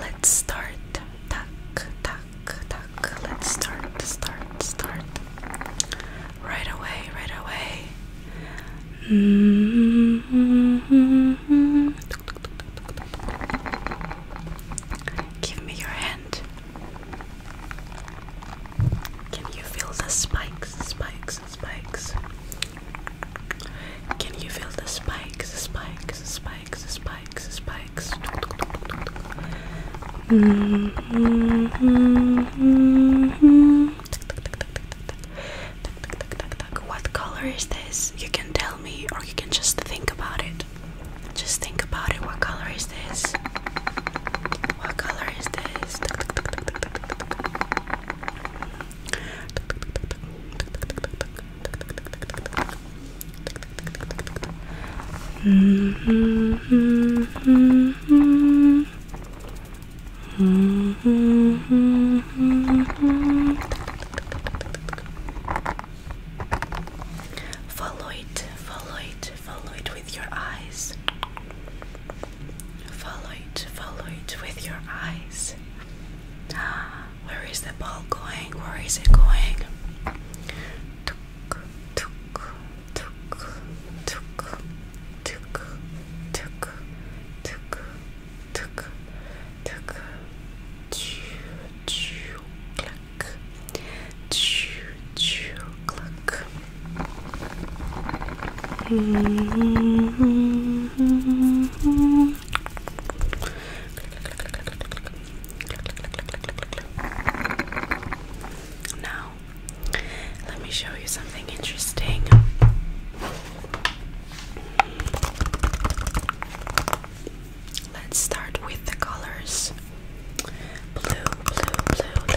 Let's start. Tuck, tuck, tuck. Let's start, start, start. Right away, right away. Mm -hmm. Give me your hand. Can you feel the spikes, spikes, spikes Can you feel the spikes, spikes, spikes, spikes, spikes? Mm -hmm. What color is this? You can tell me, or you can just think about it. Just think about it. What color is this? What color is this? Follow it, follow it, follow it with your eyes. Follow it, follow it with your eyes. Ah, where is the ball going? Where is it going? Tuk, tuk, tuk, tuk, tuk, tuk, tuk, tuk, tuk, choo, choo, cluck, choo, choo, cluck. Mm-hmm. Now, let me show you something interesting. Let's start with the colors blue, blue, blue,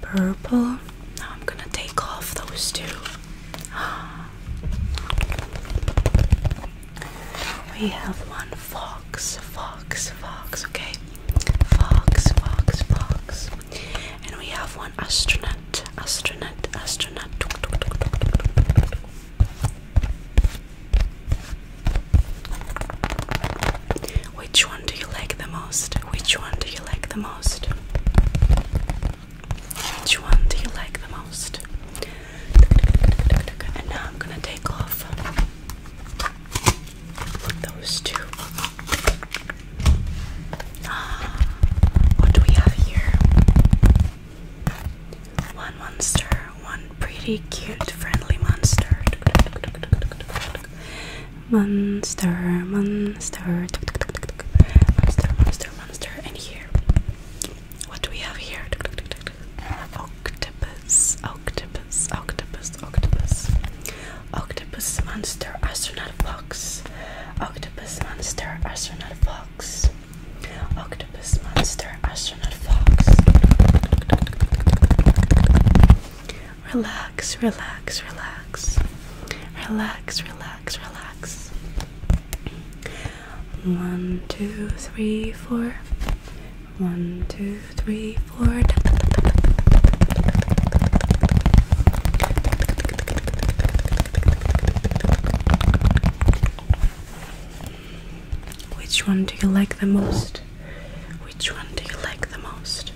purple. Now I'm gonna take off those two. We have one fox, fox, fox, okay? Fox, fox, fox. And we have one astronaut, astronaut, astronaut. Which one do you like the most? Which one do you like the most? Which one do you like the most? And now I'm gonna take off those two. Ah, what do we have here? One monster, one pretty cute, friendly monster monster, monster, monster, tuk, tuk, monster, monster, monster, and here, what do we have here? Octopus, octopus, octopus, octopus, octopus, monster, astronaut fox, octopus, monster, astronaut fox, octopus, monster, astronaut fox. Relax, relax, relax. Relax, relax, relax. One, two, three, four. One, two, three, four. Which one do you like the most? Which one do you like the most?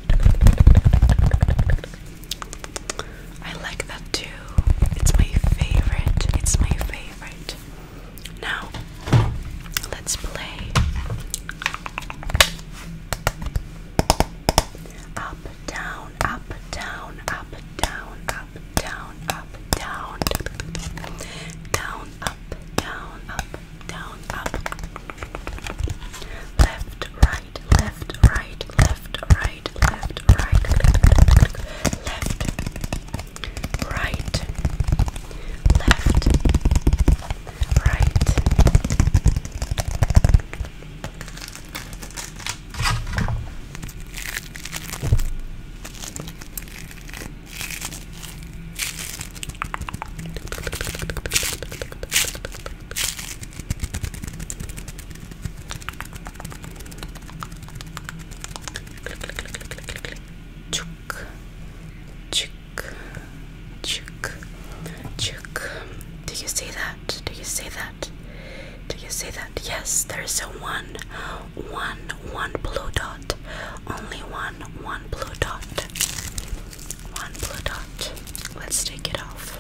I like that too. It's my favorite. It's my favorite. Now, let's play up, down, up, down, up, down, up, down, up, down, down, up, down, up, down, up, left, right, left, right, left, right, left, right, left, right, left, right. Left, Chuk, chuk, chuk, chuk. Do you see that? Do you see that? Do you see that? Yes, there's a one, one, one blue dot. Only one, one blue dot one blue dot. Let's take it off.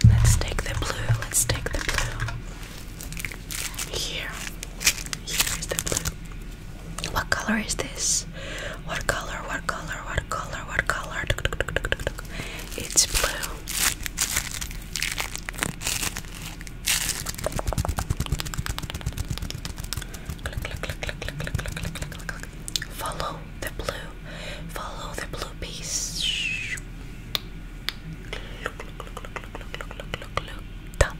And let's take the blue, let's take the blue. Here, here is the blue. What color is this? What color? What color? What color? What color? It's blue. Follow the blue. Follow the blue piece. Look, dot.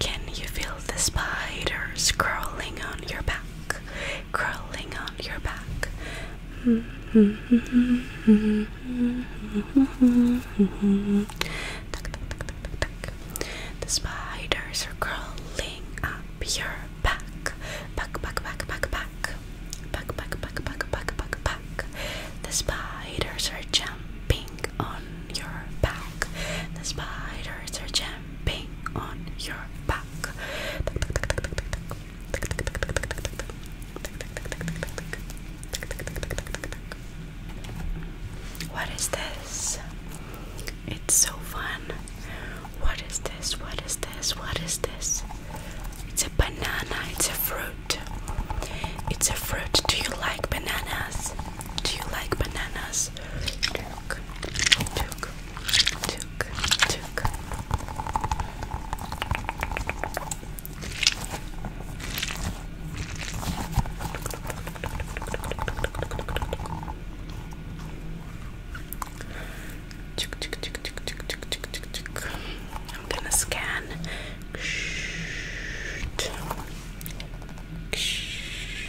Can you feel the spider crawling on your back? curling on your back. The spiders are curling up your back. Back, back, back, back, back. Back, back, back, back, back, back, back. The spiders are jumping on your back. The spiders are jumping stamping on your back. What is this? It's so fun. What is this? What is this? What is this? It's a banana. It's a fruit. It's a fruit. Do you like bananas? Do you like bananas? Took, took. I'm gonna scan. Ksh, ksh,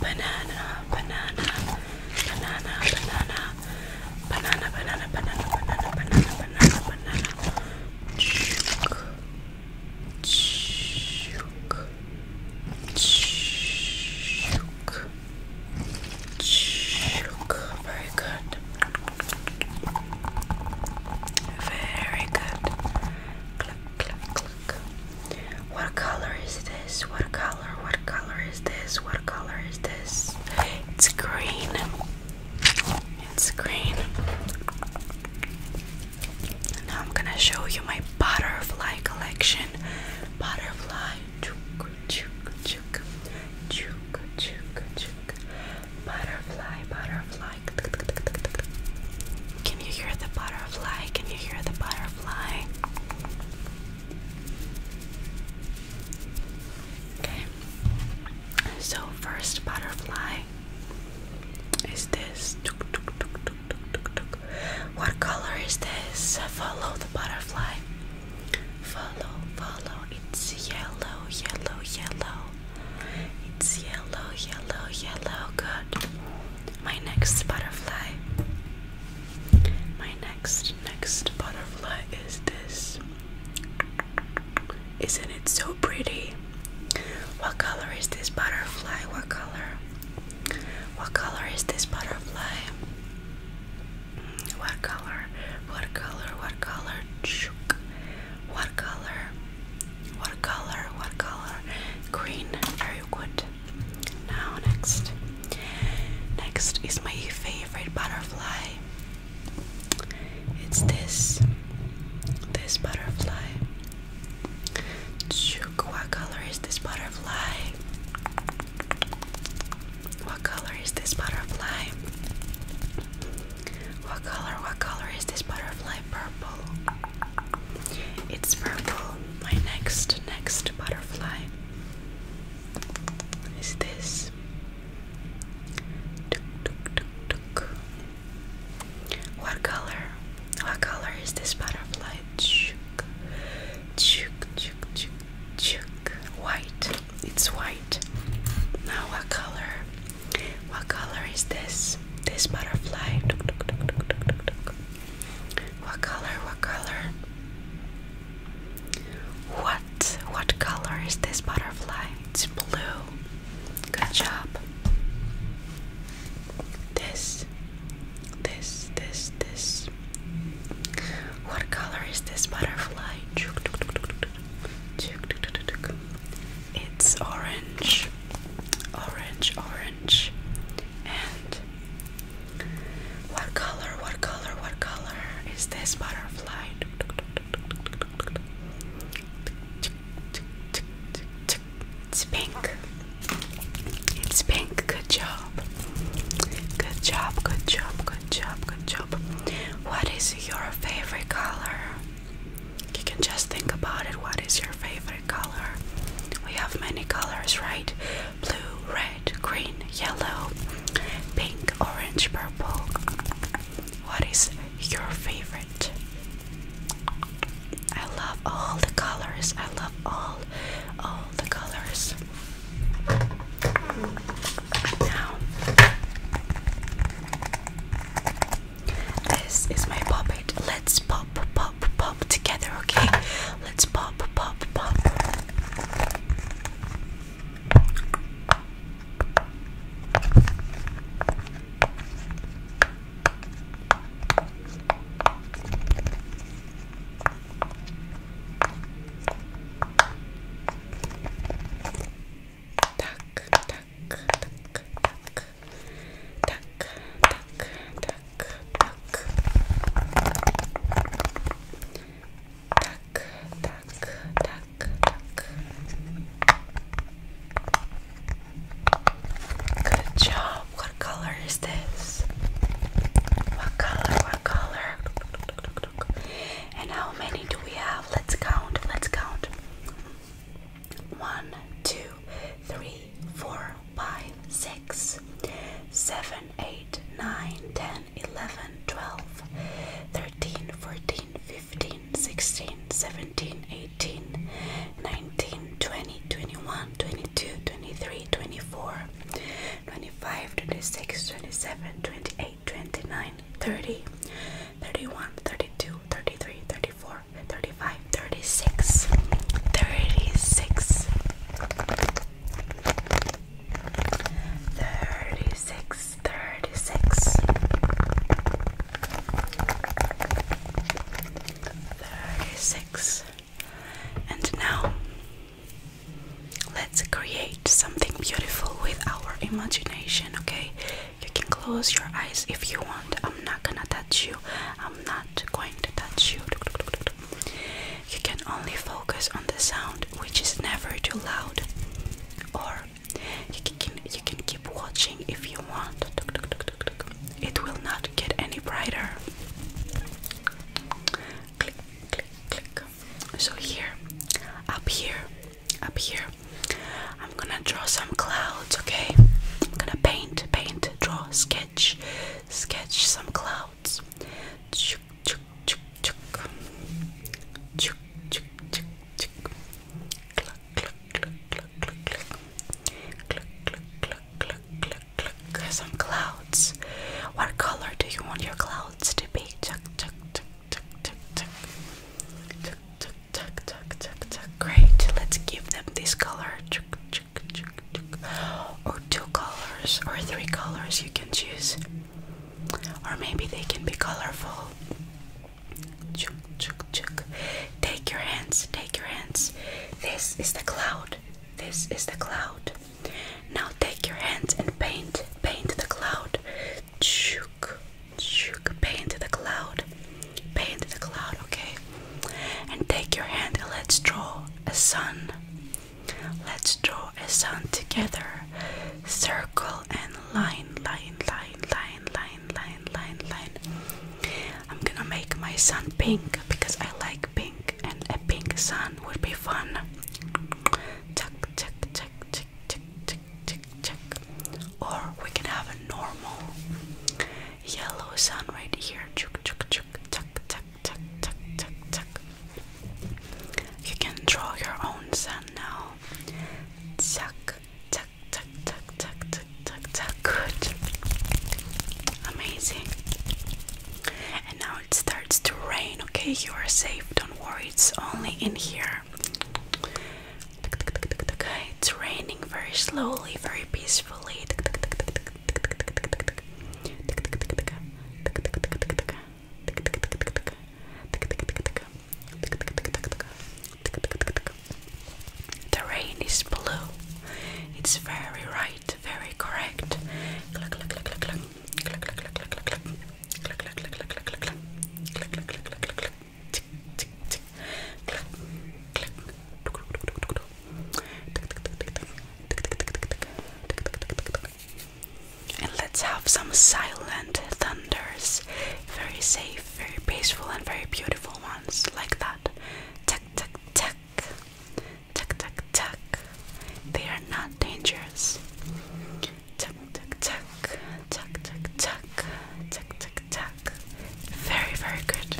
Banana, banana, banana, banana, banana, banana, banana, banana, banana, banana, banana. Chook. Chook. Chook. Chook. Very very good. What color is this? What color? What color is this? What color is this? It's green. It's green. Now I'm gonna show you my butterfly collection. Butterfly. Chook, chook, chook, chook, chook, chook, butterfly, butterfly. Can you hear the butterfly? Can you hear the butterfly? Okay. So first butterfly is this. What color is this? Follow the butterfly. Follow, follow. It's yellow, yellow, yellow. It's yellow, yellow, yellow. Good. My next butterfly. My next, next butterfly is this. Isn't it so pretty? What color is this butterfly? What color? What color is this butterfly? What color? What color? What color? What color? What color? What color? Green. Very good. Now next. Next is my favorite butterfly. It's this. This butterfly. What color is this butterfly? What color is this butterfly? What color? What color is this butterfly? Purple. It's purple. My next, next butterfly is this. What color? What color is this butterfly? Chuk, chuk, chuk, chuk, Chuk. White. It's white. Now what color? What color is this? This butterfly. What color? What color? What what color is this butterfly? It's blue. Good job. This this this this What color is this butterfly? It's orange, orange, orange, and what color? What color? What color is this butterfly? It's pink. It's pink. Good job. Good job. Good job. Good Good job, good job. What is your favorite color? You can just think about it. What is your favorite color? We have many colors, right? Blue, red, green, yellow, pink, orange, purple. What is your favorite? I love all the colors. I love all all the colors. Now, this is my puppet. Let's pop, pop, pop together, okay? Let's pop, pop, pop. Tak, tak, tak, tak, tak, tak, tak, tak, tak, tak, tak. Good job. What color is this? What color? What color? And how many do we have? Let's count. Let's count. One, two, three, four, five, six, seven, eight, nine, ten, eleven, twelve, thirteen, fourteen, fifteen, sixteen, seventeen, eighteen, nineteen, twenty, twenty-one, twenty-two, twenty-three, twenty-four, twenty-five, twenty-six, twenty-seven, twenty-eight. 28, 29, 30, 31, 32, 33, 34, 35, 36, 36, 36, 36, 36. And now Let's create something beautiful with our imagination, okay? You can close your eyes if you want. I'm not gonna touch you. I'm not going to touch you. You can only focus on the sound, which is never too loud. Or you can you can keep watching if you want. It will not get any brighter. Click, click, click. So here, up here, up here. I'm gonna draw some clouds, okay? I'm gonna paint, paint, draw, sketch, sketch some clouds. Chuk, chuk, chuk, chuk. Chuk, chuk, chuk, chuk. Cluck, cluck, cluck, cluck, cluck, cluck. Cluck, cluck, cluck, cluck, cluck, cluck. Some clouds. What color do you want your clouds to be? Chuk, chuk, chuk, tuck, tuck, tuck. Tuck, tuck, tuck, tuck, tuck, tuck. Great. Let's give them this color. Tuck, tuck, tuck, tuck. Or two colors, or three colors you can choose. Or maybe they can be colorful. Chuk, chuk, chuk. Take your hands, take your hands. This is the cloud. This is the cloud. Now take your hands and paint, paint the cloud. Chook, chook, pay into the cloud, pay into the cloud, okay? And take your hand and let's draw a sun. Let's draw a sun together. Circle and line, line, line, line, line, line, line, line. I'm gonna make my sun pink because I like pink, and a pink sun would be fun. Tuck, tuck, tuck, tuck, tick, tick, tick, tick. Or we can have a normal yellow sun right here. Chuk, chuk, chuk, tuck, tuck, tuck, tuck, tuck, tuck. You can draw your own sun now. Tuck, tuck, tuck, tuck, tuck, tuck, tuck, tuck. Good. Amazing. And now it starts to rain. Okay, you are safe. Don't worry. It's only in here there. It's raining very slowly, very peacefully. The rain is blue. It's very right, very correct and let's have some silent thunders, very safe, very peaceful, and very beautiful ones like that. Tuck, tuck, tuck, tuck, tuck, tuck. They are not dangerous tuck, tuck, tuck, tuck, tuck, tuck, tuck, tuck, tuck. Very, very good.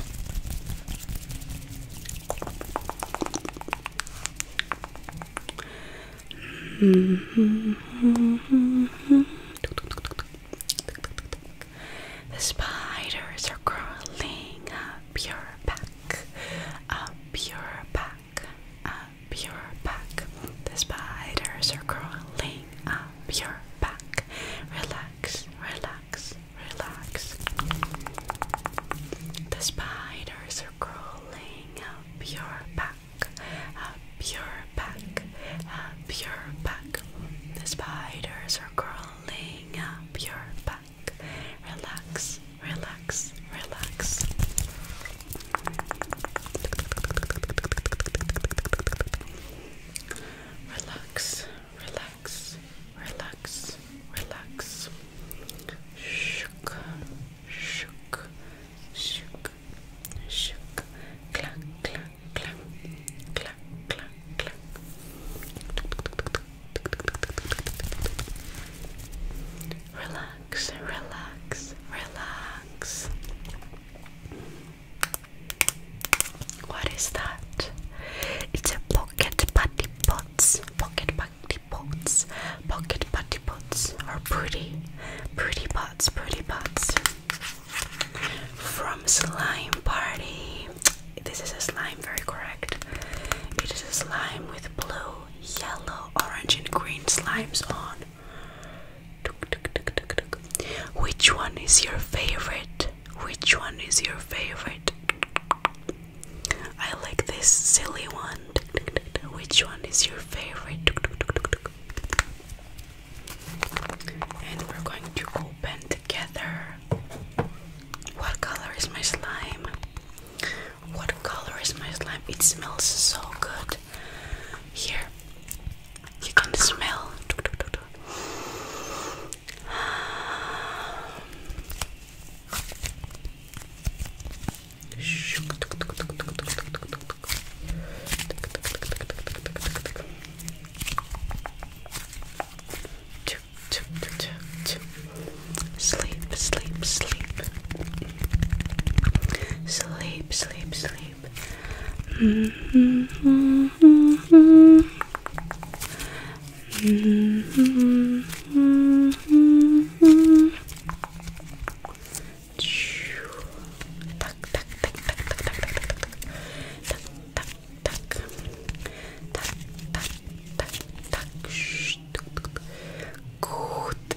Mm -hmm, mm -hmm, mm -hmm. The spiders are crawling up your back, up your back up your back. The spiders are crawling up your back. Relax, relax, relax. The spiders are crawling up your back, up your back, up your back. The spiders are crawling up your back. Relax, relax, relax. Relax, relax, relax, relax. Shook, shook, shook, shook. Clack, clack, clack, clack, clack, Relax, relax, relax. What is that? It's a pocket party pots. Pocket putty pots. Pocket putty pots are pretty. Pretty pots, pretty pots. From Slime Party. This is a slime, very correct. It is a slime with blue, yellow, orange, and green slimes on which one is your favorite? Which one is your favorite? I like this silly one. Which one is your favorite? And we're going to open together. What color is my slime? What color is my slime? It smells so good here. You can smell. Sleep, sleep, sleep. Sleep, sleep, sleep. Mm -hmm, mm -hmm. Mm -hmm, mm -hmm. Tuck, tuck, tuck, tuck, tuck, tuck, tuck, tuck, tuck, tuck, tuck, tuck, tuck, tuck, tuck, Gut,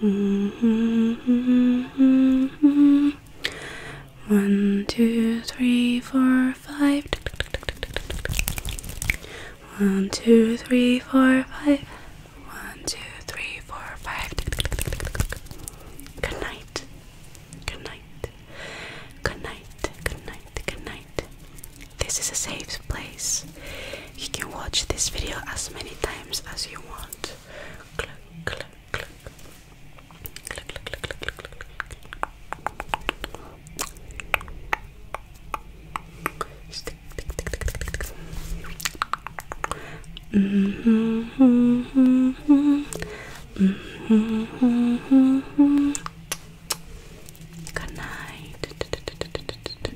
Mm One, two, three, four, five. One, two, three, four, five. One, two, three, four, five. Good night. Good night. Good night. Good night. Good night. This is a safe place. You can watch this video as many times as you want. Click, click, click. Click, click, click, click, click, click. Mm hmm mm hmm mm hmm Good night.